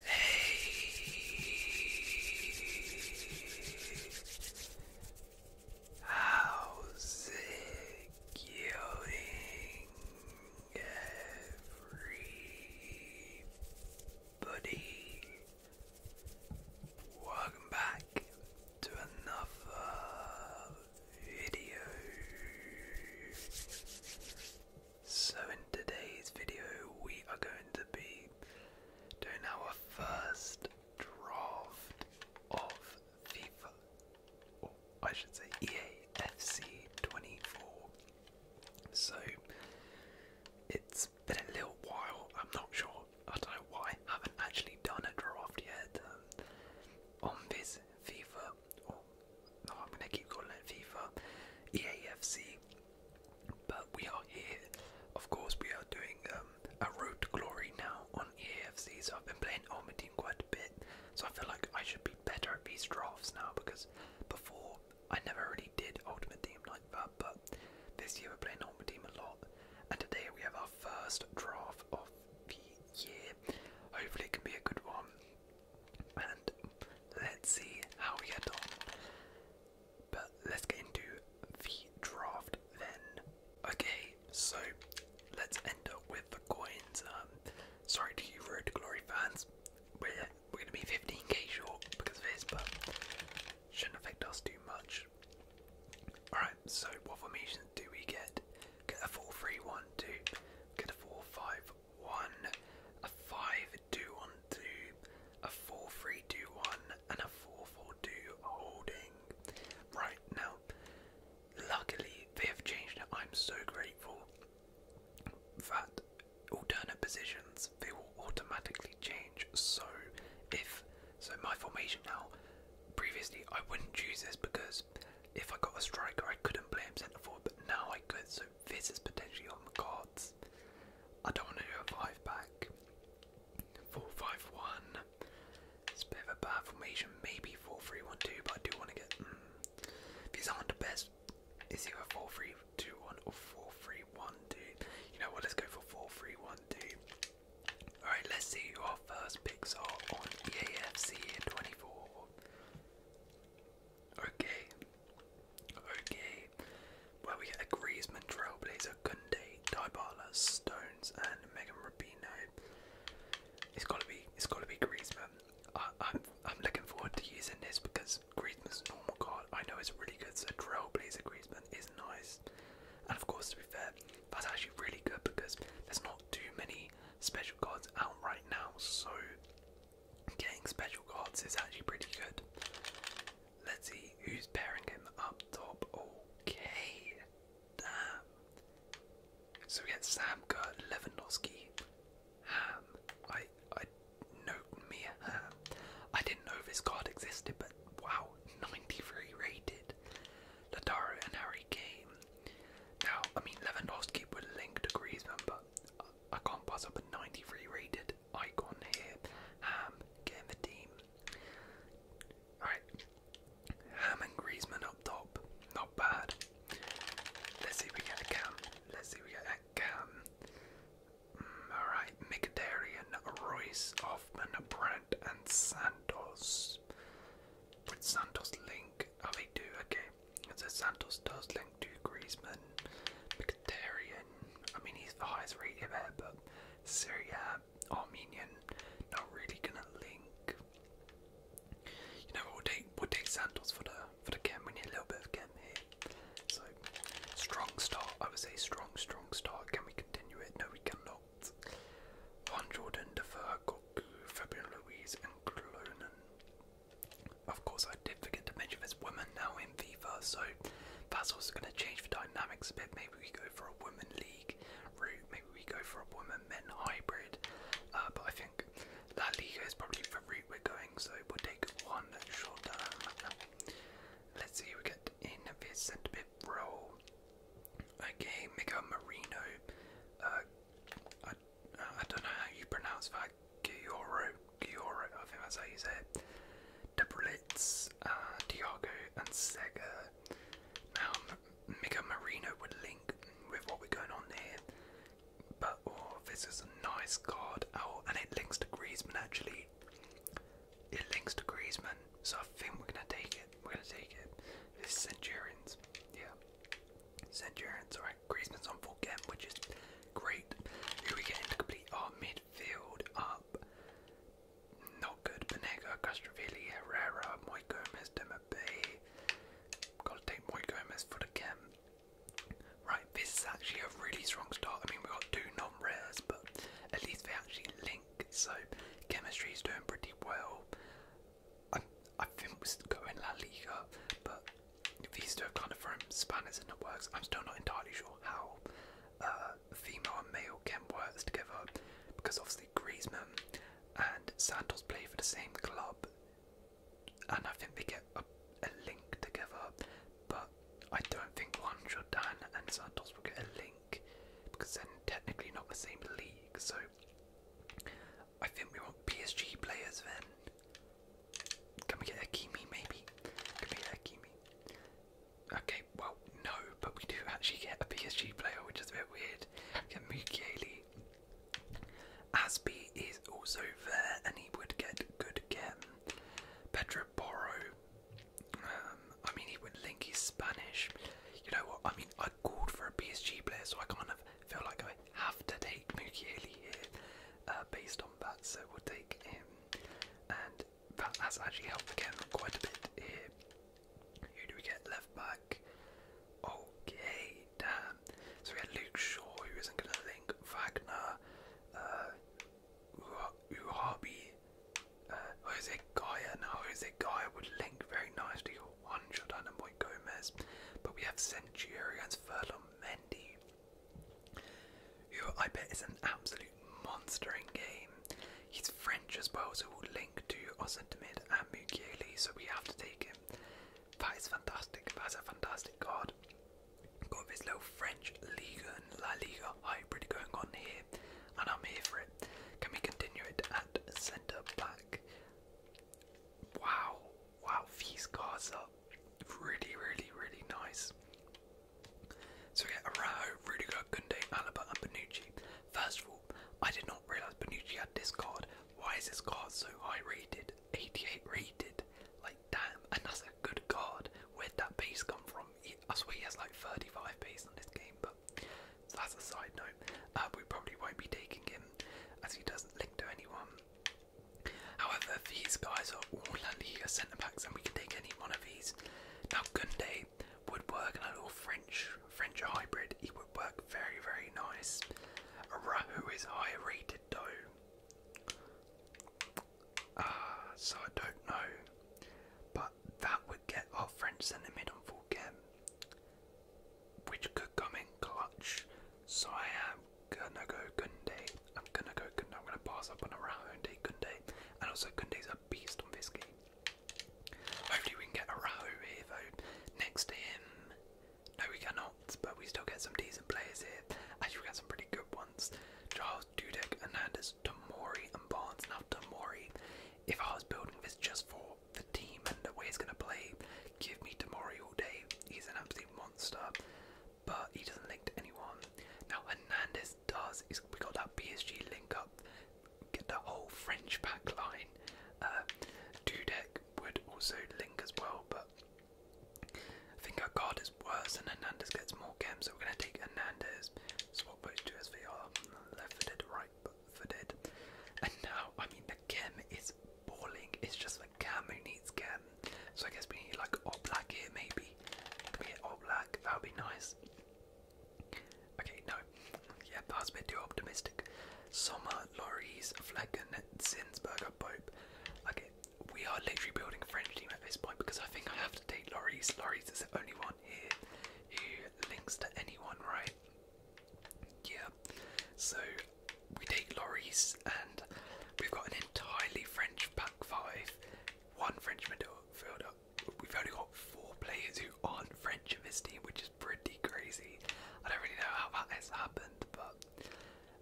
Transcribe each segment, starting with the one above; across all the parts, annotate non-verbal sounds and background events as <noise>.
Hey, how's it going, everybody? Welcome back to another video. So in today's video we are going to be doing our first draft of FIFA or I should say EA FC 24. So it's been a little while, I'm not sure, I don't know why, I haven't actually done a draft yet um, on this FIFA, or no, I'm going to keep calling it FIFA, EAFC but we are here. Of course, we are doing um, a road to glory now on EAFC. So I've been playing Ultimate Team quite a bit. So I feel like I should be better at these drafts now because before I never really did Ultimate Team like that. But this year we're playing Ultimate Team a lot. And today we have our first draft of the year. Hopefully it can be a good one and let's see how we get on. But let's get into the draft then. Okay, so let's end up with the coins. Um, sorry to you Road to Glory fans, we're, we're gonna be 15k short because of this, but shouldn't affect us too much. Alright, so what formations do we get? Get a 4 get a 4 5 one, a five two one two, a four three two one, and a four four two holding. Right now, luckily they have changed it. I'm so grateful that alternate positions they will automatically change. So if so, my formation now. Previously, I wouldn't choose this because if I got a striker, I couldn't play centre forward. But now I could. So this is potentially on the cards. I don't want to do back. Four five one. It's a bit of a bad formation. Maybe four three one two, but I do want to get. these mm. aren't the best. It's either four three two one or four three one two. You know what? Let's go for four three one two. All right, let's see our first picks are on EAFC in 24. Okay. Okay. Well, we get a Griezmann, Trailblazer, Gunday, Dybala, Stones, and Megan Rapino. It's gotta be, it's gotta be Griezmann. I, I'm, I'm looking forward to using this because Griezmann's a normal card. I know it's really good, so Trailblazer Griezmann is nice. And of course, to be fair, that's actually really good because there's not too many special cards out right now. So Getting special cards is actually pretty good. Let's see who's pairing him up top. Okay. Damn. So we get Samka, Lewandowski, Ham. I I no me Ham. I didn't know this card existed, but wow, <laughs> 93 rated. Lataro and Harry Kane. Now, I mean Lewandowski would link degrees Griezmann, but I can't pass up a 93 rated icon here. Ham getting the team. Alright. Ham and Griezmann up top. Not bad. Let's see if we get a cam. Let's see we get a cam. Mm, alright, Mkhitaryan, Royce, Hoffman, Brandt and Santos. With Santos link. Oh they do, okay. So Santos does link to Griezmann, Mkhitaryan. I mean, he's the highest rated there, but Syria, Armenian, not really gonna link. You know, we'll take we'll Santos for the for the game. We need a little bit of game here. So strong start. I would say strong, strong start. Can we continue it? No, we cannot. Von Jordan, Defer, Goku, Fabian Louise, and Clonan. Of course, I did forget to mention there's women now in FIFA, so that's also going to change the dynamics a bit. Maybe we go for a women league route, maybe we go for a women men hybrid. Uh, but I think that league is probably the route we're going, so we'll take one short term. Let's see, we get in a centre bit role. Okay, Miguel Marino. Uh, I, I don't know how you pronounce that Gioro, Gioro, I think that's how you say it, Diago, uh, and Sega. Now, Mika Marino would link with what we're going on here, but oh, this is a nice card. Oh, and it links to Griezmann actually. It links to Griezmann, so I think we're gonna take it. We're gonna take it. It's Centurions, yeah. Centurions are right, Griezmann's on which is great. Who we getting to complete our oh, midfield up? Not good. Benega, Castrovilli, Herrera, Moy Gomez, Gotta take Moy for the game. Right, this is actually a really strong start. I mean, we got two non-rares, but at least they actually link. So chemistry is doing pretty well. I think we're going La Liga, but these two are kind of from spanners in the works. I'm still not entirely sure how uh, female and male can work together because obviously Griezmann and Santos play for the same club, and I think they get a, a link together. But I don't think one Jordan and Santos will get a link because they're technically not the same league. So I think we want PSG players then. Can we get a maybe? Can we get a Okay, well, no, but we do actually get a PSG player, which is a bit weird. Can get Mukiele. Aspi is also there, and he would get good again. Pedro Porro. Um, I mean, he would link his Spanish. You know what? I mean, I called for a PSG player, so I kind of feel like I have to take Mukiele here uh, based on that, so we'll take him. And that has actually helped again quite a bit here. Who do we get left back? Okay, damn. So we had Luke Shaw, who isn't going to link, Wagner, uh, Uhabi, uh, Jose Gaia. Now, Jose Gaia would link very nicely one shot and Boy Gomez, but we have Centurions, Furlong, Mendy, who I bet is an absolute monster in game. He's French as well, so we'll link to Osentamid and Mugieli, so we have to take him. That is fantastic, that's a fantastic card. Got this little French Liga La Liga hybrid going on here, and I'm here for it. Can we continue it at centre back? Wow, wow, these cards are really, really, really nice. So yeah, get Araujo, Rudiger, Gunde, Alaba, and Benucci. First of all, I did not realise Benucci had this card. Why is this card so high rated? 88 rated. Like, damn, Another good card. Where'd that base come from? He, I swear he has like 35 base on this game, but that's a side note. Uh, we probably won't be taking him as he doesn't link to anyone. However, these guys are all La Liga centre backs, and we can take any one of these. Now, Gunde would work in a little French French hybrid. He would work very, very nice. Rahu is higher rated though. Ah, so I don't know. But that would get our French centre mid on full game. Which could come in clutch. So I have gonna go Kunde. I'm gonna go Kunde. I'm gonna pass up on Araujo and Kunde. And also Kunde's a beast on this game. Hopefully we can get a Araujo here though. Next to him. No we cannot, but we still get some decent players here. Actually we got some pretty good ones. Charles Dudek, Hernandez, Tomori and Barnes. Not Tomori, if I was building this just for the team and the way he's gonna play, give me Tomori all day. He's an absolute monster but he doesn't link to anyone. Now Hernandez does. He's, we got that PSG link up. Get the whole French back line. Uh, Dudek would also link as well, but I think our card is worse and Hernandez gets more games, so we're going to take Hernandez, swap those two SVR. left footed, right footed. And now, I mean, the game is balling, it's just like. Camu needs Cam. So I guess we need like Oblak here maybe. Can we That would be nice. Okay, no. Yeah, that a bit too optimistic. Sommer, Loris, Flecken, Zinsberger, Pope. Okay, we are literally building a French team at this point because I think I have to date Loris. Loris is the only one here who links to anyone, right? Yeah. So we take lorries and we've got an entirely French pack five, one French midfielder. We've only got four players who aren't French in this team, which is pretty crazy. I don't really know how that has happened, but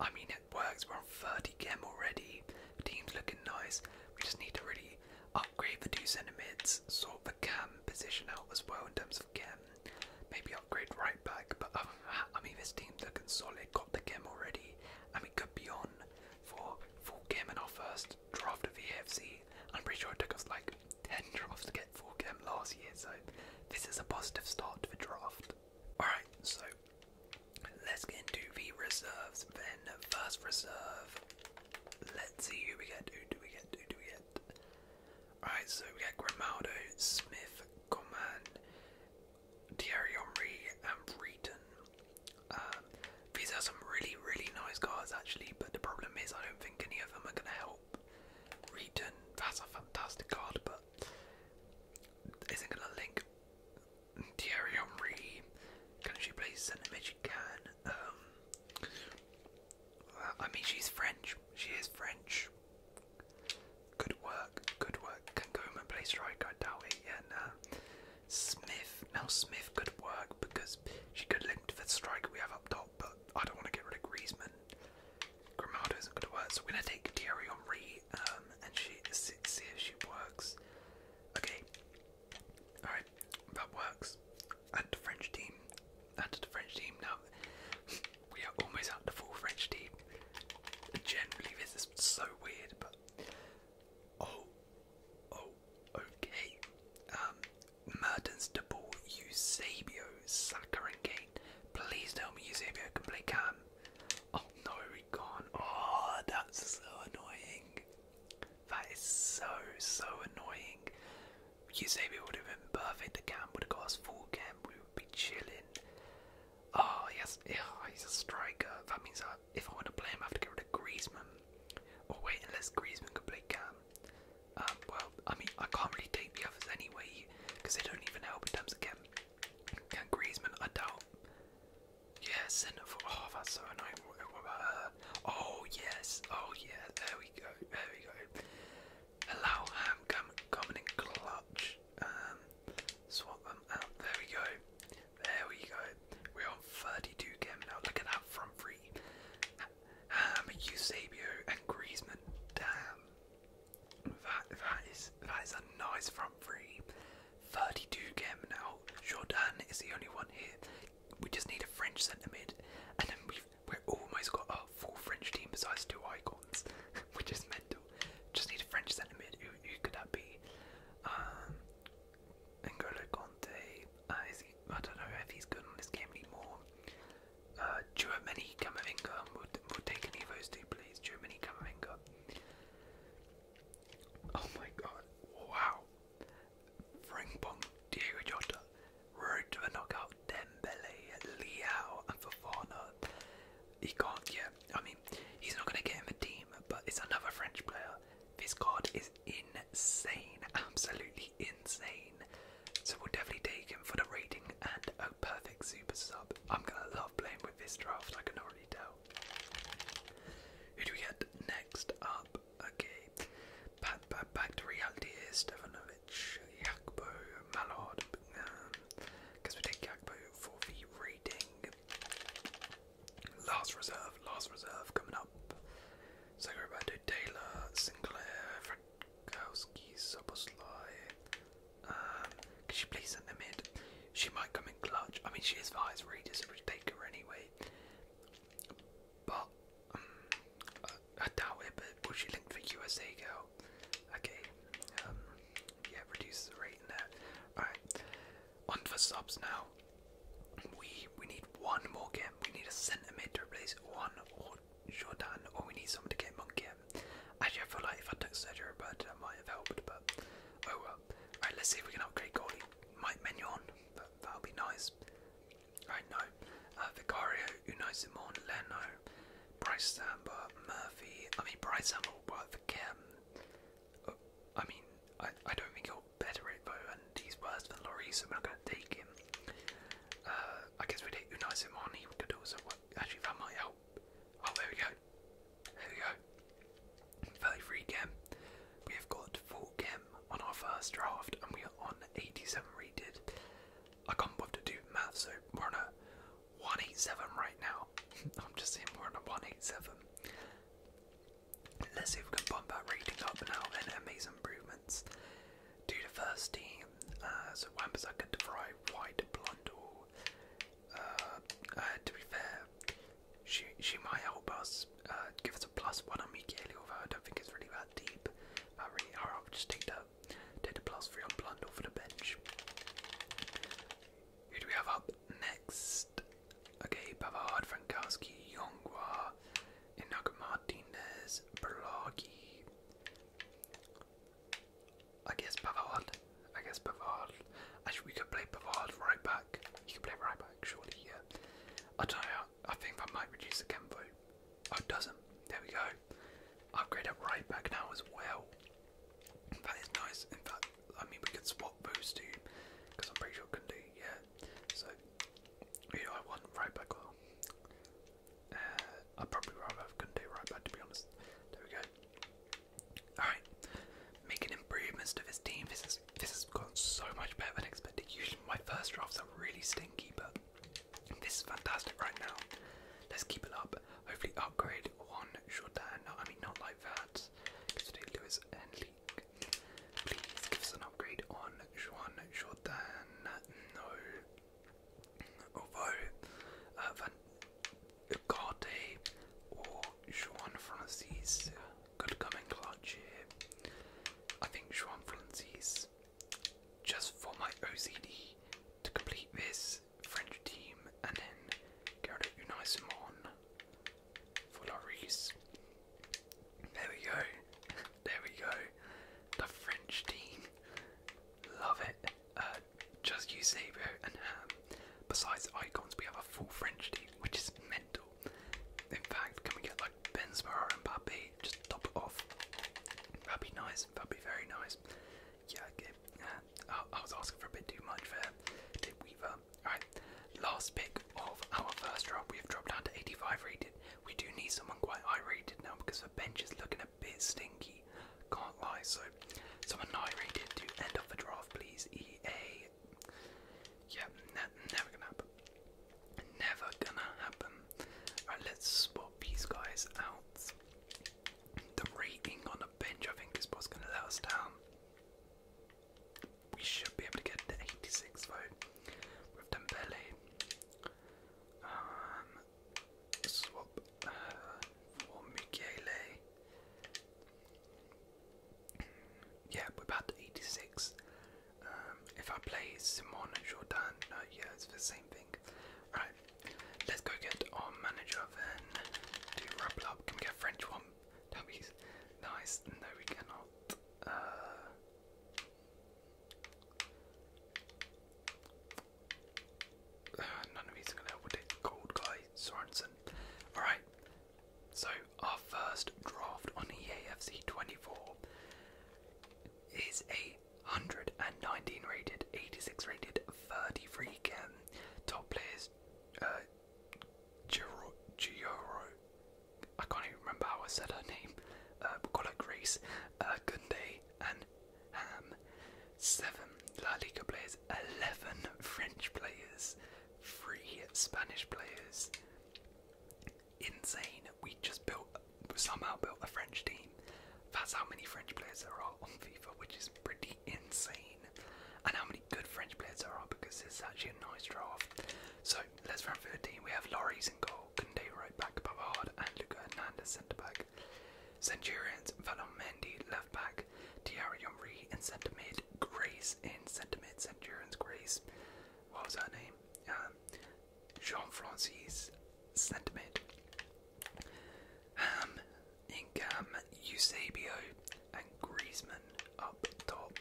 I mean, it works. We're on 30 gem already. team's looking nice. We just need to really upgrade the two centre mids, sort the cam position out as well in terms of gem. Maybe upgrade right back, but um, I mean, this team's looking solid. Got the game already, and we could be on for full game in our first draft of the AFC. I'm pretty sure it took us like 10 <laughs> drafts to get full game last year, so this is a positive start to the draft. Alright, so let's get into the reserves then. First reserve, let's see who we get. Who do we get? Who do we get? Alright, so we get Grimaldo, Smith, Coman, Thierry Henry and Breton. Um, these are some really, really nice guys actually, but the problem is I don't think any of them are going to help. Breton, that's a fantastic card, but isn't going to link. Thierry can she please send centre if She can. Um, I mean, she's French. She is French. Good work, good work. Can go in my place right, I doubt it, yeah, nah. Smith, now Smith could work because she could link to the striker we have up top, but I don't want to get rid of Griezmann. Grimaldo isn't going to work, so we're going to take Thierry Henry um, and she, see, if she works. Okay, alright, that works. Add the French team, add the French team now we are almost out the full French team. Generally, this is so weird, but oh, oh, okay. Um, Mertens, De Ball, Eusebio, Saka, and Kane. Please tell me Eusebio can play Cam. Oh no, he gone. Oh, that's so annoying. That is so so annoying. Eusebio would have been perfect. The Cam would have got us full Cam. We would be chilling. Oh, yes, yeah, he's a striker. That means I, if I want to play him, I have to get rid of Griezmann. Or oh, wait, unless Griezmann can play Cam. Um, well, I mean, I can't really take the others anyway because they don't even help in terms of Cam. Griezmann? I doubt. Yeah, centre for. Oh, that's so annoying. Oh yes. Oh yeah. There we go. There we go. Allow Ham coming in clutch. Um, swap them out. There we go. There we go. We're on 32 game now. Look at that front three. Um, Eusebio and Griezmann. Damn. That that is that is a nice front three. 32 game now. Jordan is the only one here. We just need a French centre mid, and then we've we're almost got a full French team besides two icons, which is mental. Just need a French centre Who, could that be? Um, Conte. Uh, I don't know if he's good on this game anymore. Germany uh, Camavinga. We'll, take any of two, please. Germany Camavinga. Oh my god. Wow. Frimpong, Diego Jota. Road to the knockout. Dembele, Liao, and Fofana he can't. Yeah, I mean, he's not going to get in the team, but it's another French player. This card is insane, absolutely insane. So we'll definitely take him for the rating and a perfect super sub. I'm gonna love playing with this draft. I can already tell. Who do we get next up? Okay, back back back to reality is Stefanovic, Jakbo, Mallard because we did Gakpo for the rating. Last reserve, last reserve coming up. So Roberto Taylor, Sinclair, Fredkowski, Soboslai. Um, she please send them in? She might come in clutch. I mean, she is the highest so we take her anyway. But um, I, doubt it. But will she link for USA girl? Okay. Um, yeah, reduces the rate there. Alright. On for subs now. We we need one more game. We need a centimeter to replace one or Jordan, or we need someone to get Monkey. Actually, I feel like if I took Sergio Roberto, that might have helped, but oh well. Alright, let's see if we can upgrade goalie. Mike Mignon, that, that'll be nice. Alright, no. Uh, Vicario, Unai Simon, Leno, Bryce Samba, Murphy. I mean, Bryce Samba will work for Kim. Uh, I mean, I, I don't think he'll better it though, and he's worse than Laurie, so we're not going to take him. Uh, I guess we would hit take Unai Simoni, we could also work. Actually, that might help. Oh, there we go. There we go. 33 Kim. We have got 4 Kim on our first draft, and we are on 87 rated. I can't bother to do math, so we're on a 187 right now. <laughs> I'm just seeing we're on a 187. Let's see if we can bump our reading up now and make improvements. Do the first team, uh, so Wambazaka, DeVry, White, blonde? Uh, uh, to be fair, she she might help us uh, give us a plus one on Mikaeli, although I don't think it's really that deep. I really, i just take the Take the a plus three on blunder for the bench. Who do we have up next? Okay, Pavard, Frankowski, Yongwa, Inago Martinez, Berlagi. I guess Pavard. I guess Pavard. we could play Pavard right back. You could play right back, surely, yeah. I don't know. I think that might reduce the Kembo. Oh, it doesn't. There we go upgrade at right back now as well. That is nice. In fact, I mean, we could swap those two because I'm pretty sure we yeah. So, who do I Right back uh, I'd probably rather have Kunde right back to be honest. There we go. Alright. Making improvements to this team. This is this has gone so much better than expected. Usually my first drafts are really stinky, but this is fantastic right now. Let's keep it up. Hopefully upgrade one Jordan. No, I mean not like that. Because and Leek. Please give us an upgrade on Juan Jordan. No. Although uh, Van Ugarte or Juan Francis could come in clutch I think Juan Francis, just for my OCD to complete this French team, and then Gareth Unai Simon for Lloris. There we go. <laughs> There we go. The French team. Love it. Uh, just Eusebio and Ham. Besides icons, we have a full French team, which is mental. In fact, can we get like Benzema and Mbappe? Just top it off. That'd be nice. That'd be very nice. Yeah, okay. Uh, I was asking for a bit too much there. Did Weaver. Alright, last pick of our first draft. We have dropped down to 85 rated. We do need someone quite high rated now because the bench is looking a bit stinky. Can't lie, so someone high rated to end up the draft, please. EA. Yeah, never gonna happen. Never gonna happen. Alright, let's swap these guys out. The rating on the bench. I think this ball's going to let us down. We should be able to get the 86 vote with Dembele. Um, swap uh, for Mukiele. Yeah, we're about 86. Um, if I play Simon and Jordan, yeah, it's the same thing. Alright, Let's go get our manager then. Do rubble up. Can we get French one? That would be nice. No, we cannot. Uh, uh, none of these are gonna help with it. Gold Sorensen. Alright, so our first draft on EAFC 24 is a 119 rated, 86 rated, 33 cam. Top players, uh, I can't even remember how I said her name, uh, we'll call her Grace, uh, Gunde, and Ham. 7 La Liga players, 11 French players, 3 Spanish players. Insane. We just built, somehow built a French team. That's how many French players there are on FIFA, which is pretty insane. And how many good French players there are because it's actually a nice draft. So let's round through We have Loris in goal, Kunde right back, Pavard and Luca Hernandez centre back. Centurions, Valon Mendy left back, Thierry Henry in centre mid, Grace in centre mid, Centurions Grace. What was her name? Um, Jean Francis centre mid, Ham, Ingham, Eusebio, and Griezmann up top.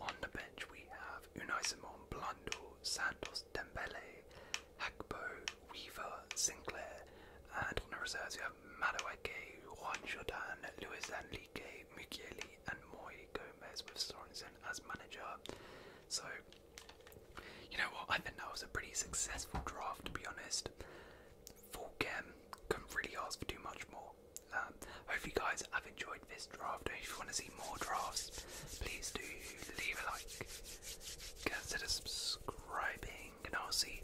On the bench we have Unai Simon, Blando, Santos, Dembele, Hakpo, Weaver, Sinclair, and in the reserves we have Madueke, Juan Jordan, Luis Enrique, Mukieli, and Moy Gomez with Sorensen as manager. So you know what? I think that was a pretty successful draft, to be honest. Full game couldn't really ask for too much more. Um, hopefully, you guys have enjoyed this draft. If you want to see more drafts, please do leave a like, consider subscribing, and I'll see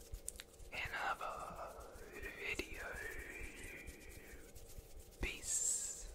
another video. Peace.